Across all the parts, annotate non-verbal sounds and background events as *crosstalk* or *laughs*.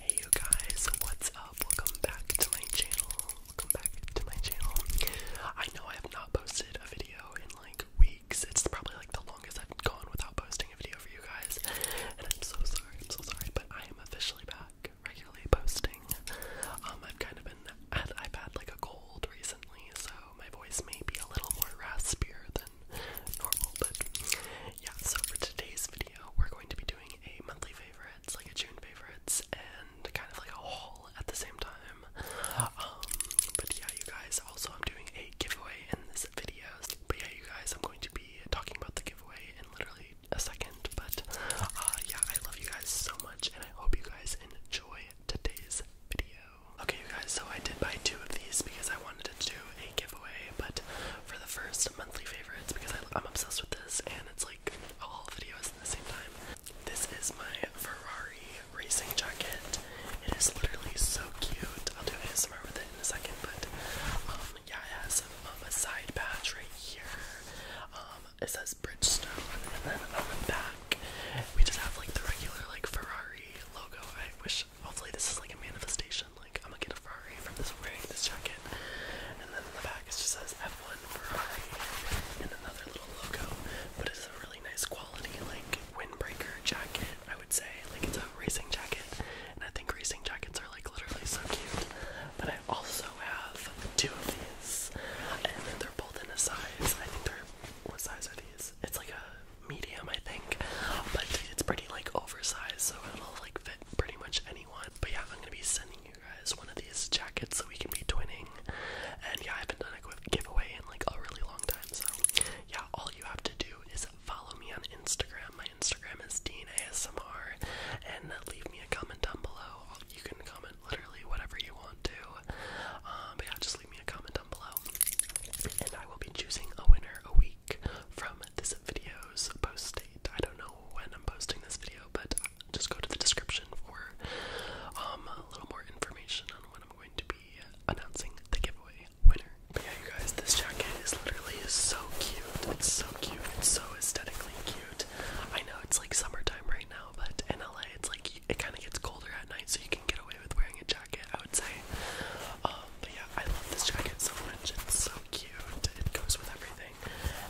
Hey you guys, what's up? Welcome back to my channel. Welcome back to my channel. I know I have not posted a video in like weeks. It's probably like the longest I've gone without posting a video for you guys. And I'm so sorry, I'm so sorry, but I am officially back regularly posting. Um I've kind of been I've had like a cold recently, so my voice may be a little more raspier than normal, but yeah, so for today's video, we're going to be doing a monthly favorites, like a June favorites, and kind of like a haul at the same time. Um, but yeah, you guys, also I'm doing a giveaway in this video, but yeah, you guys, I'm going to be talking about the giveaway in literally a second, but uh, yeah, I love you guys so much, and I hope you guys enjoy today's video. Okay, you guys, so I did buy two of these because I wanted to to do a giveaway, but for the first monthly favorites, because I, am obsessed with this and it's like all videos at the same time. This is my Ferrari racing jacket. It is literally so cute. I'll do a Instagram with it in a second, but um, yeah, it has um, a side patch right here. Um, it says Bridgestone, and then on the back, we just have like the regular like Ferrari logo. I wish Hopefully this is like a manifestation. Like I'm gonna get a Ferrari from this wearing this jacket. And then in the back it just says F1 Ferrari and another little logo. But it's a really nice quality like windbreaker jacket, I would say. Like it's a racing jacket. And I think racing jackets are like literally so cute. But I also have two of these. And then they're both in a size. I think they're what size are these? It's like a medium, I think. But it's pretty like oversized, so it'll like fit pretty much anyone. But yeah, I'm gonna be sending you guys one of these jackets so we can be twinning. And yeah, I haven't done a giveaway in like a really long time, so yeah, all you have to do is follow me on Instagram. My Instagram is DeanASMR, and leave me a comment down below. You can comment literally whatever you want to. Um, but yeah, just leave me a comment down below, and I will be choosing a winner a week week from this video's post date. I don't know when I'm posting this video, but just go to the description for um, a little more information on when I'm going to be announcing the giveaway winner. But yeah, you guys, this jacket is literally so cute. It's so cute. It's so aesthetically cute. I know it's like summertime right now, but in LA, it's like it kind of gets colder at night, so you can get away with wearing a jacket jacket, I would say. Um, but yeah, I love this jacket so much. It's so cute. It goes with everything.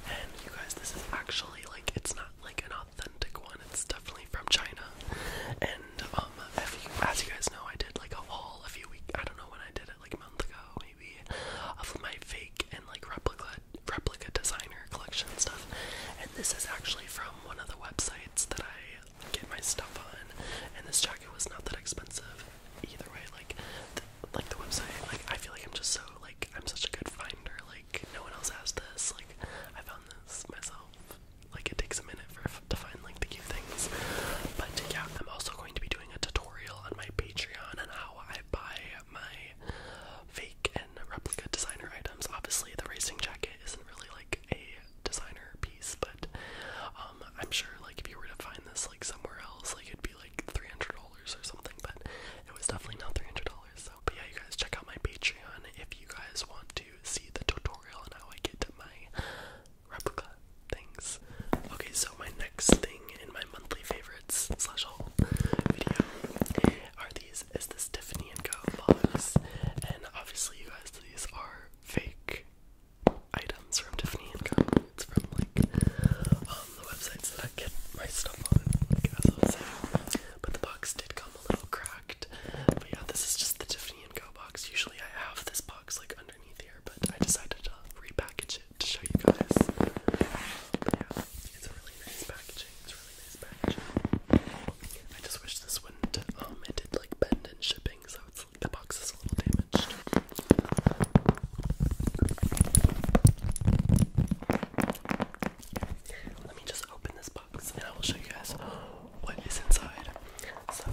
And you guys, this is actually like it's not like an authentic one. It's definitely from China. And um, if you, as you guys know, I did like a haul a few weeks. I don't know when I did it, like a month ago maybe, of my fake and like replica replica designer collection stuff. And this is actually from one of the websites that I get my stuff on. And this jacket was not that expensive either way. Like, like the website. Like, I feel like I'm just so like I'm such a good finder. Like, no one else has this. Like, I found this myself. Like, it takes a minute for to find like the cute things. But yeah, I'm also going to be doing a tutorial on my Patreon on how I buy my fake and replica designer items. Obviously, the racing jacket isn't really like a designer piece, but um, I'm sure like if you were to find this like somewhere else, like it'd be like three hundred dollars or something. But it was definitely not three hundred dollars. So, but yeah, you guys check out my Patreon if you guys want to see the tutorial on how I get my replica things. Okay, so my next thing in my monthly favorites slash haul video are these. Is this Tiffany and Co box? And obviously, you guys, these are fake items from Tiffany and Co. It's from like um, the websites that I get my stuff on, like I was saying. But the box did come a little cracked. But yeah, this is just the Tiffany and Co. box. Usually I have this box like underneath here, but I decided to repackage it to show you guys. yeah, it's a really nice packaging. It's really nice packaging. I just wish this wouldn't um it did like bend in shipping, so it's the box is a little damaged. Let me just open this box and I will show you guys what is inside. So,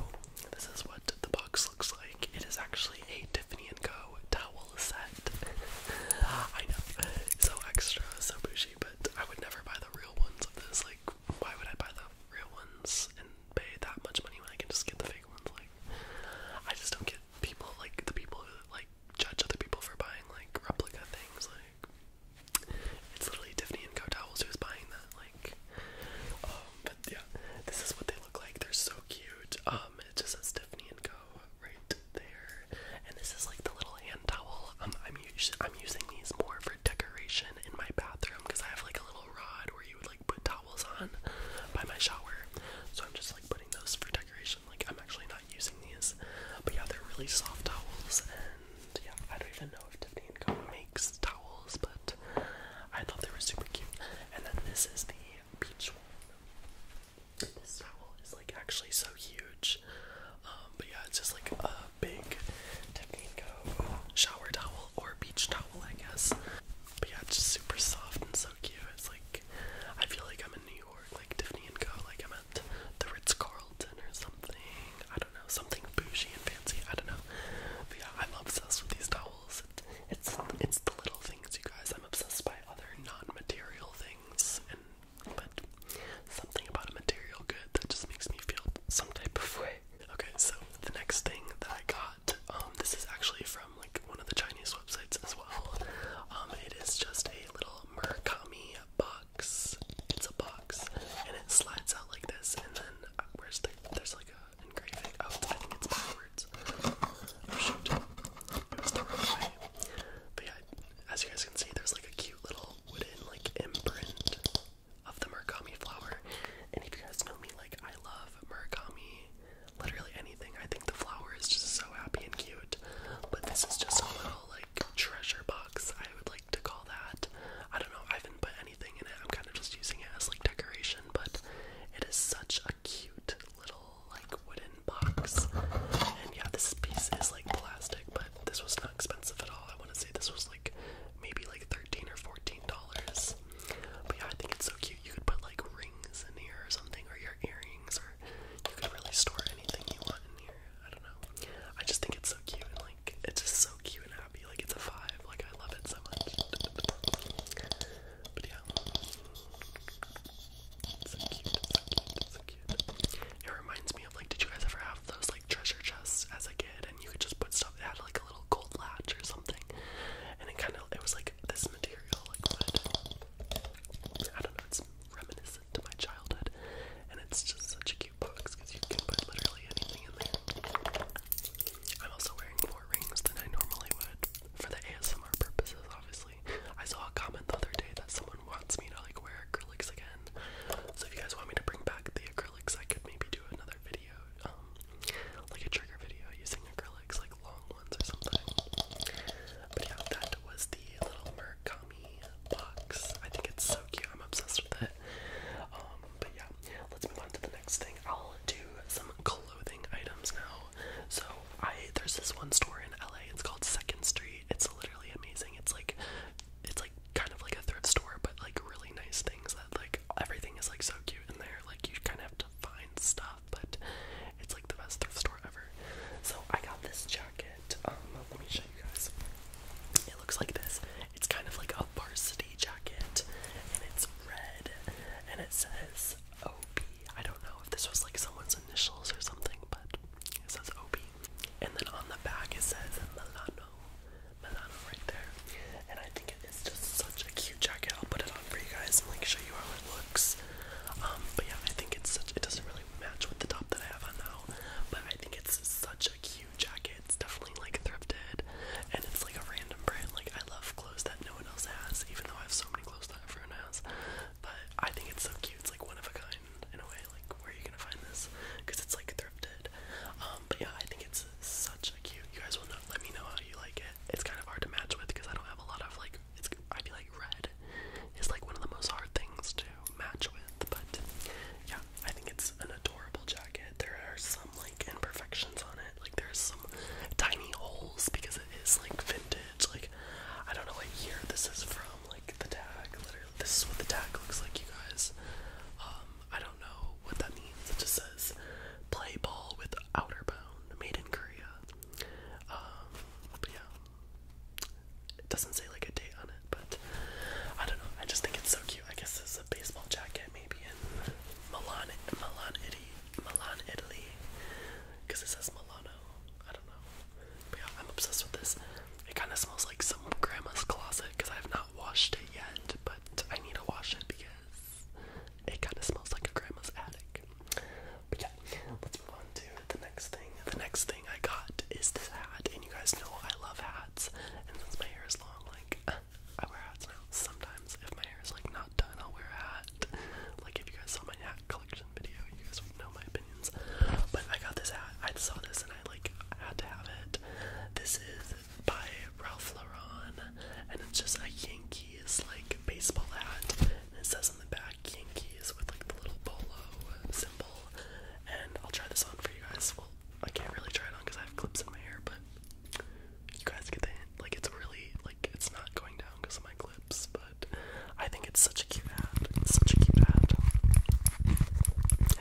this is what the box looks like. It is actually a Tiffany & Co. towel set. *laughs* I know, so extra, so bougie, but I would never buy the real ones of this. Like, why would I buy the real ones and pay that much money when I can just get the fake ones? Like, I just don't get people like the people who like judge other people for buying like replica things. Like, it's literally Tiffany and Co. Towels who's buying that. Like, um, but yeah, this is what they look like. They're so cute. Um, it just says Tiffany and Co. right there, and this is like the little hand towel. Um, I'm I'm using these more for decoration in my bathroom because I have like a little rod where you would like put towels on by my shower. So I'm just like putting those for decoration. Like I'm actually not using these. But yeah, they're really soft towels and yeah, I don't even know if Tiffany & Co. makes towels, but I thought they were super cute. And then this is the beach one. This towel is like actually so huge. Um, but yeah, it's just like a big Tefnico shower towel or beach towel, I guess. But yeah, it's just super soft and so cute. It's like I feel like I'm in New York, like Tiffany and Co. Like I'm at the Ritz Carlton or something. I don't know, something bougie and fancy. I don't know. But yeah, I'm obsessed with these towels. it's it's the little things, you guys. I'm obsessed by other non-material things, and but something about a material good that just makes me feel some type of way. Okay, so the next thing that I got, um, this is actually from like one of the Chinese websites as well. Um, it is just a little merkami box. It's a box, and it slides out like this, and then uh, where's the there's like a engraving. Oh, I think it's backwards. Oh shoot, it was the wrong way. But yeah, as you guys can see, there's like a cute little wooden like imprint of the Murakami flower. And if you guys know me, like I love Murakami, literally anything. I think the flower is just so happy and cute. But this is just a little like treasure box, I would like to call that. I don't know, I haven't put anything in it. I'm kind of just using it as like decoration, but it is such a cute little like wooden box. And yeah, this piece is like plastic, but this was expensive at all. I want to say this was like maybe like thirteen or fourteen dollars. But yeah, I think it's so cute. You could put like rings in here or something, or your earrings, or you could really store anything you want in here. I don't know. I just think it's so cute like it's just so cute and happy. Like it's a five. Like I love it so much. But yeah. So cute, so cute, It reminds me of like, did you guys ever have those like? treasure chests as a kid, and you could just put stuff. It had like a little gold latch or something, and it kind of it was like this material, like wood. I don't know. It's reminiscent of my childhood, and it's just such a cute box because you can put literally anything in there. I'm also wearing more rings than I normally would for the ASMR purposes, obviously. I saw a comment the other day that someone wants me to like wear acrylics again. So if you guys want me to bring back the acrylics acrylics, I could maybe do another video, um, like a trigger video using acrylics, like long ones or something. But yeah, that was the little Murakami box. I think it's so cute. I'm obsessed with it. Um, but yeah, let's move on to the next thing. I'll do some clothing items now. So I there's this one store in LA. It's called Second Street. It's literally amazing. It's like it's like kind of like a thrift store, but like really nice things that like everything is like so cute in there. Like you kind of have to find stuff, but it's like the best thrift store ever. So I got this jacket. Um, let me show you guys. It looks like this. It's kind of like a varsity jacket, and it's red, and it says OP. I don't know if this was like someone's initials or something, but it says OP and then on the back it says Milano. Milano right there. And I think it is just such a cute jacket. I'll put it on for you guys and like show you how it looks. Um, but yeah, I think it's such it doesn't really match with the top that I have on now. But I think it's such a cute jacket. It's definitely like thrifted and it's like a random brand. Like I love clothes that no one else has, even though I have so many clothes that everyone has. But I think it's so cute, it's like one of a kind in a way, like where are you gonna find this? Because it's like thrifted. Um, but yeah, I think it's such a cute. You guys will Let me know how you like it. It's kind of hard to match with because I don't have a lot of like. I feel like red is like one of the most hard things to match with. But yeah, I think it's an adorable jacket. There are some like imperfections on it. Like there's some tiny holes because it is like vintage. Like I don't know what year this is from. Like, the tag. Literally, this is what the tag looks like, you guys. Um, I don't know what that means. It just says play ball with outer bound, made in Korea. Um, but yeah, it doesn't say like a date on it, but I don't know. I just think it's so cute. I guess it's a baseball jacket, maybe in Milan, Milan, Italy, Milan, Italy, because it says Milano. I don't know yeah, I'm obsessed with this. It kind of smells like some grandma's closet because I have not washed it yet, but I need to wash it because it kind of smells like a grandma's attic. But yeah, let's move on to the next thing. The next thing I got is this hat, and you guys know I love hats. And since my hair is long, like I wear hats now. Sometimes if my hair is like not done, I'll wear a hat. Like if you guys saw my hat collection video, you guys would know my but I got this hat. I saw this and I like had to have it. This is by Ralph Lauren, and it's just a Yankees like baseball hat. it says on the back Yankees with like the little polo symbol. And I'll try this on for you guys. Well, I can't really try it on because I have clips in my hair, but you guys get the hint. Like it's really like it's not going down because of my clips, but I think it's such a cute hat. It's such a cute hat.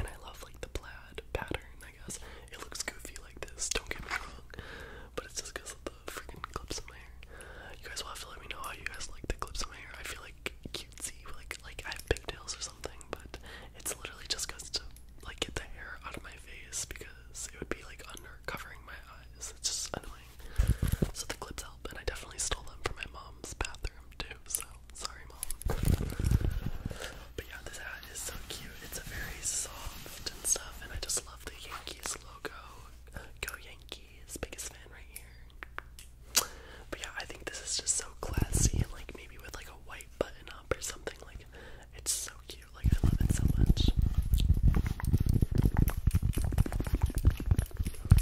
I love like the plaid pattern, I guess. It looks goofy like this, don't get me wrong, but it's just because of the freaking clips in my hair. You guys will have to let me know how you guys like the clips in my hair. I feel like cutesy, like like I have pigtails or something, but it's literally just because to like get the hair out of my face because it would be like under covering my eyes. It's just annoying. So the clips help, and I definitely stole them from my mom's bathroom too. So Sorry, mom. But yeah, this hat is so cute. It's very soft and stuff, and I just love the Yankees logo. Go Yankees, biggest fan right here. But yeah, I think this is just so classy and like maybe with like a white button up or something. Like, it's so cute. Like, I love it so much.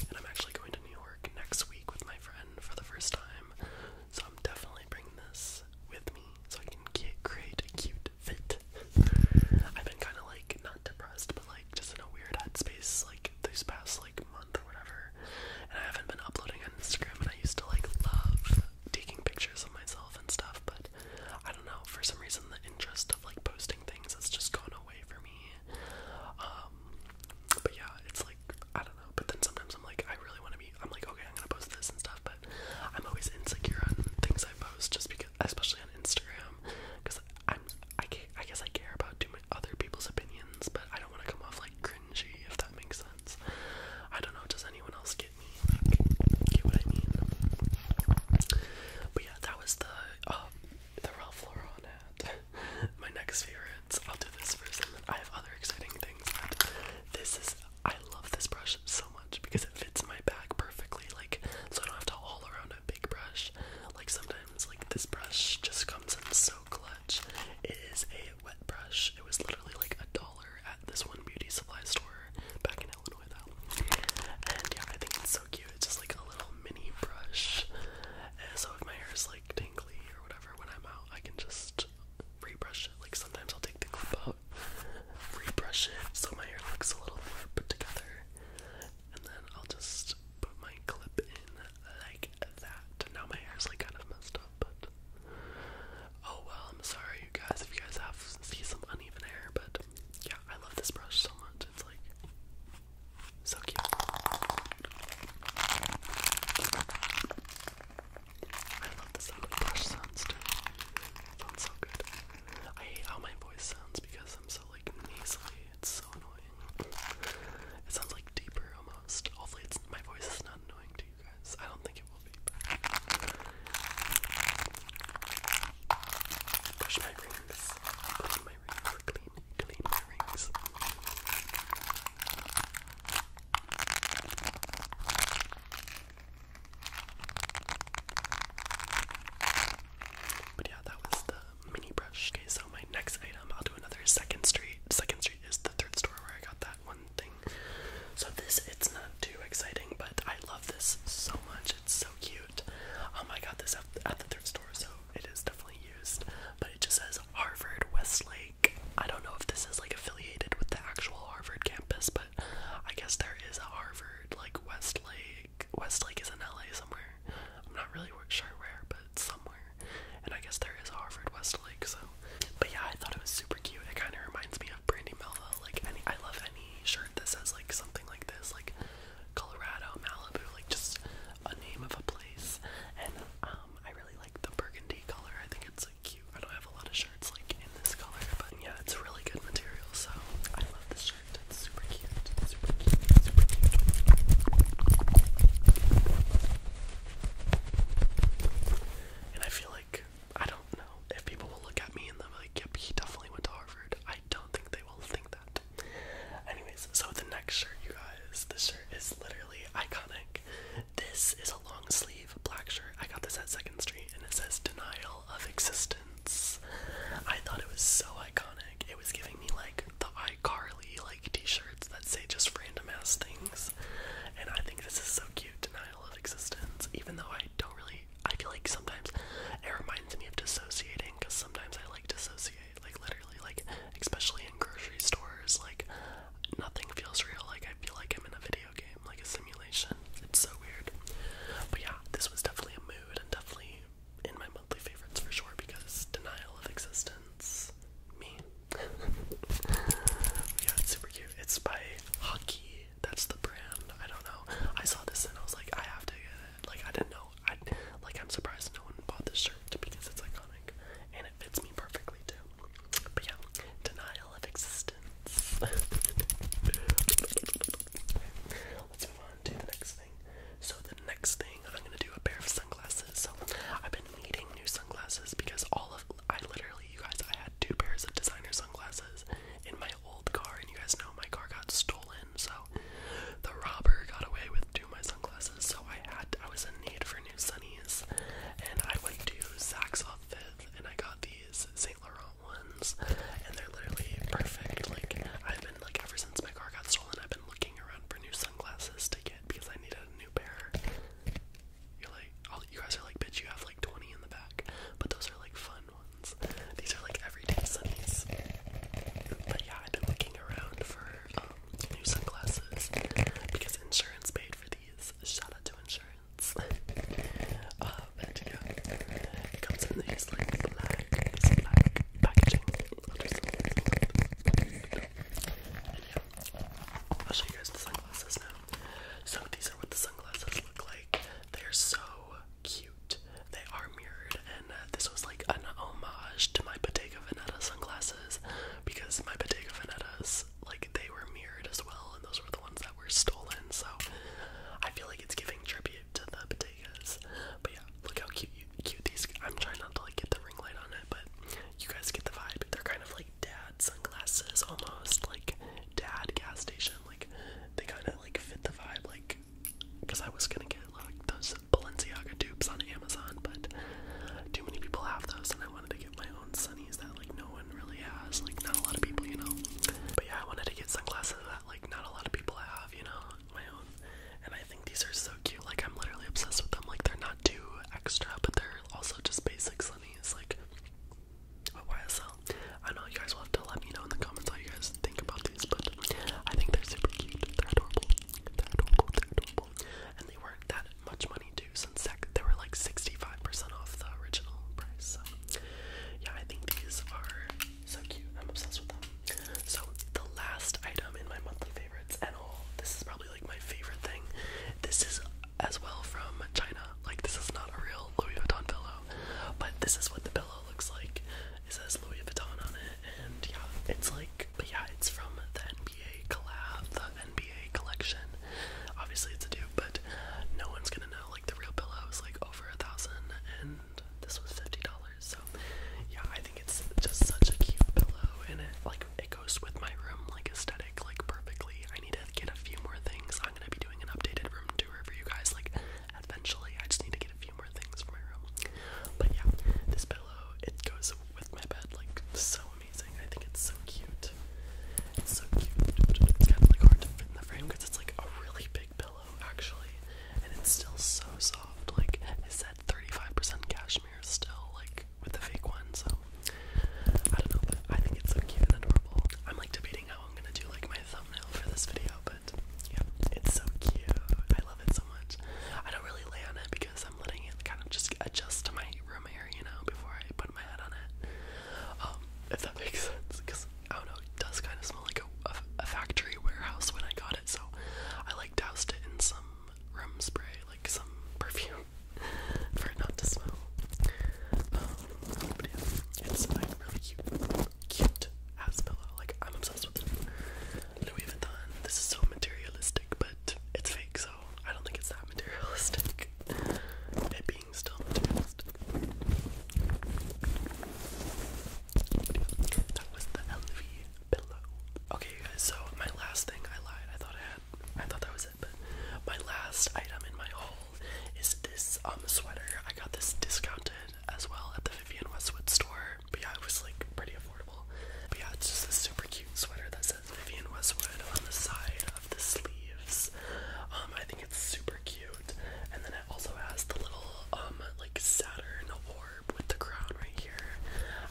And I'm actually going to New York next week with my friend for the first time. So I'm definitely bringing this with me so I can create a cute fit. I've been kind of like not depressed, but like just in a weird headspace like this past like month or whatever. And I haven't been uploading on Instagram, and I used to like love taking pictures of myself and stuff, but I don't know for some reason the interest of like posting things has just gone away for me, um, but yeah, it's like I don't know. But then sometimes I'm like, I really want to be. I'm like, okay, I'm gonna post this and stuff. But I'm always insecure on things I post, just because, especially on Instagram, because I'm. I, guess I care about too many other people's opinions, but I don't want to come off like cringy, if that makes sense. I don't know. Does anyone else get me? get what I mean? But yeah, that was the um, the Ralph Lauren hat. *laughs* My next favorites. I'll do this first, and then I have other exciting things. But this is. I love this brush so much because it fits my bag perfectly. Like, so I don't have to haul around a big brush. Like sometimes, like this brush just comes in so clutch. It is a wet brush. It was literally like a dollar at this one beauty supply store back in Illinois, though. And yeah, I think it's so cute. It's just like a little mini brush. And so if my hair is like tingly or whatever when I'm out, I can just rebrush it. Like sometimes I'll take the clip out, rebrush it so my hair looks a little more put together, and then I'll just put my clip in like that. Now my hair is like kind of messed up, but oh well. I'm sorry, you guys, if you guys have see some uneven hair, but yeah, I love this brush so much. It's like so cute. I love the sound of brush sounds too. It so good. I hate how my voice sounds because I'm so like nasally. It's so annoying. It sounds like deeper almost. Hopefully, my voice is not annoying to you guys. I don't think it will be. But... my rings. But yeah, that was the mini brush. Okay, so my next item, I'll do another second street. Second street is the third store where I got that one thing. So this, it's not too exciting, but I love this so much. It's so cute. Um, I got this at the thrift store, so it is definitely used, but it just says Harvard Westlake. I don't know if this is like affiliated with the actual Harvard campus, but I guess there is a Harvard like Westlake. Westlake is in LA somewhere. I'm not really sure where, but somewhere. And I guess there is a Harvard Westlake. So, but yeah, I thought it was super cute. It kind of reminds me of Brandy Melville. Like any, I love any shirt that says like something like this. Like Colorado, Malibu, like just a name of a place. And um, I really like the burgundy color. I think it's like cute. I don't have a lot of shirts like in this color, but yeah, it's really good material. So I love this shirt. It's super cute. Super cute. Super cute. And I feel like I don't know if people will look at me and they're like, "Yep, he definitely went to Harvard." I don't think they will think that. Anyways, so the next shirt, you guys, this shirt is literally iconic. This is a long sleeve black shirt. I got this at Second Street, and it says "Denial of Existence." I thought it was so iconic. It was giving me like the iCarly like T-shirts that say just random ass things, and I think this is so cute. Denial of existence. Even though I don't really, I feel like sometimes it reminds me of dissociating because sometimes I like dissociate. Like literally, like especially in grocery stores, like nothing feels real. Like I feel like I'm in a video game, like a simulation. It's so weird. But yeah, this was definitely a mood and definitely in my monthly favorites for sure because denial of existence. Me. *laughs* yeah, it's super cute. It's by Hockey. That's the brand. I don't know. I saw this and I was like, I have to get it. Like I didn't know I like I'm surprised no one bought this shirt because it's iconic and it fits me perfectly too. But yeah, denial of existence. *laughs* let's move on to the next thing. So the next thing I'm gonna do a pair of sunglasses. So I've been needing new sunglasses because all of I literally you guys I had two pairs of designer sunglasses in my old car and you guys know my car got stolen so the robber got away with two my sunglasses. So I had I was in need for new sunnies, and I went to Saks off Fifth, and I got these Saint Laurent ones, and they're literally perfect. Like I've been like ever since my car got stolen, I've been looking around for new sunglasses to get because I need a new pair. You're like, all, you guys are like, bitch, you have like 20 in the back, but those are like fun ones. These are like everyday sunnies. But yeah, I've been looking around for um, new sunglasses because insurance paid for these. Shout out to insurance. *laughs* uh, yeah, it comes in these like black, black packaging. I'll show you guys the sunglasses now. So these are what the sunglasses look like. They are so cute. They are mirrored, and uh, this was like an homage to my Bottega Veneta sunglasses because my Bottega Venetas, like, they were mirrored as well, and those were the ones that were stolen. So I feel like it's giving tribute to the Bottegas. But yeah, look how cute, you, cute these. I'm trying not to like get the ring light on it, but you guys get the vibe. They're kind of like dad sunglasses, almost like dad gas station. Like they kind of like fit the vibe, like because I was gonna get like those Balenciaga dupes on Amazon, but too many people have those, and I wanted to get my own sunnies that like no one really has, like not a lot of people, you know. But yeah, I wanted to get sunglasses that like not a lot of people have, you know, my own. And I think these are so cute. Like I'm literally obsessed with them. Like they're not too extra, but they're also just basic sunnies. Like. YSL, I know you guys will let me know in the comments how you guys think about these, but I think they're super cute. They're adorable. They're adorable. They're adorable. And they weren't that much money too, since they were like 65% off the original price. So, yeah, I think these are so cute. I'm obsessed with them. So, the last item in my monthly favorites, and all, this is probably like my favorite thing. This is as well from China. Like, this is not a real Louis Vuitton pillow, but this is what the pillow looks like. It says Louis Vuitton on it, and yeah, it's like, but yeah, it's from the NBA collab, the NBA collection. Obviously, it's a dupe, but no one's gonna know. Like the real pillow is like over a thousand, and this was fifty dollars. So yeah, I think it's just such a cute pillow, and it like it goes with my room like aesthetic like perfectly. I need to get a few more things. I'm gonna be doing an updated room tour for you guys. Like eventually. I just need to get a few more things for my room. But yeah, this pillow, it goes with my bed like so amazing. I think it's so cute. It's so cute. It's kind of like hard to fit in the frame because it's like a really big pillow actually. And it's still so soft. Like it said 35% cashmere still, like with the fake one, so I don't know, but I think it's so cute and adorable. I'm like debating how I'm gonna do like my thumbnail for this video, but it. it's so cute. I love it so much. I don't really lay on it because I'm letting it kind of just adjust to my room air, you know, before I put my head on it. Um, if that *laughs* makes sense, because I don't know, it does kind of smell like a, factory warehouse when I got it, so I like doused it in some room spray, like some *laughs* perfume, for it not to smell. Um, but yeah, it's like cute cute ass pillow. Like I'm obsessed with it. Louis Vuitton. This is so materialistic, but it's fake, so I don't think it's that materialistic. It being still materialistic. That was the LV pillow. Okay, guys. So my last thing, I lied. I thought I had. I thought that was it, but my last item in my haul is this um sweater. I got this discounted as well at the Vivienne Westwood store. But yeah, it was like pretty affordable. But yeah, it's just a super cute sweater that says Vivienne Westwood on the side of the sleeves. Um, I think it's super cute. And then it also has the little um like Saturn orb with the crown right here.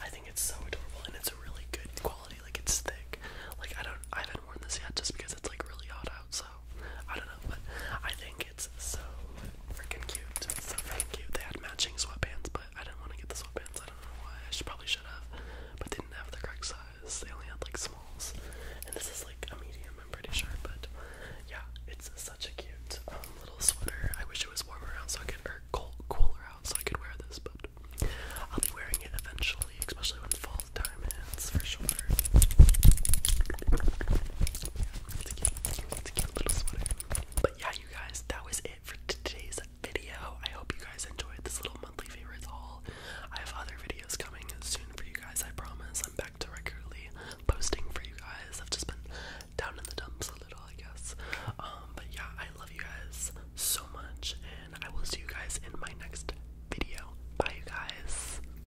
I think it's so adorable and it's a really good quality, like it's thick. Like I don't I haven't worn this yet just because it's like really hot outside. I don't know, but I think it's so freaking cute. so freaking cute. They had matching sweatpants, but I didn't want to get the sweatpants. I don't know why. I probably should have, but they didn't have the correct size. They only had like smalls, and this is like a medium. I'm pretty sure, but yeah, it's such a cute um, little sweater. I wish it was warmer out so I could, or cooler out so I could wear this, but I'll be wearing it eventually, especially when fall time hits for sure. But yeah, you guys, that was it for today's video. I hope you guys enjoyed this little monthly favorites haul. I have other videos coming soon for you guys, I promise. I'm back to regularly posting for you guys. I've just been down in the dumps a little, I guess. Um, but yeah, I love you guys so much, and I will see you guys in my next video. Bye, you guys.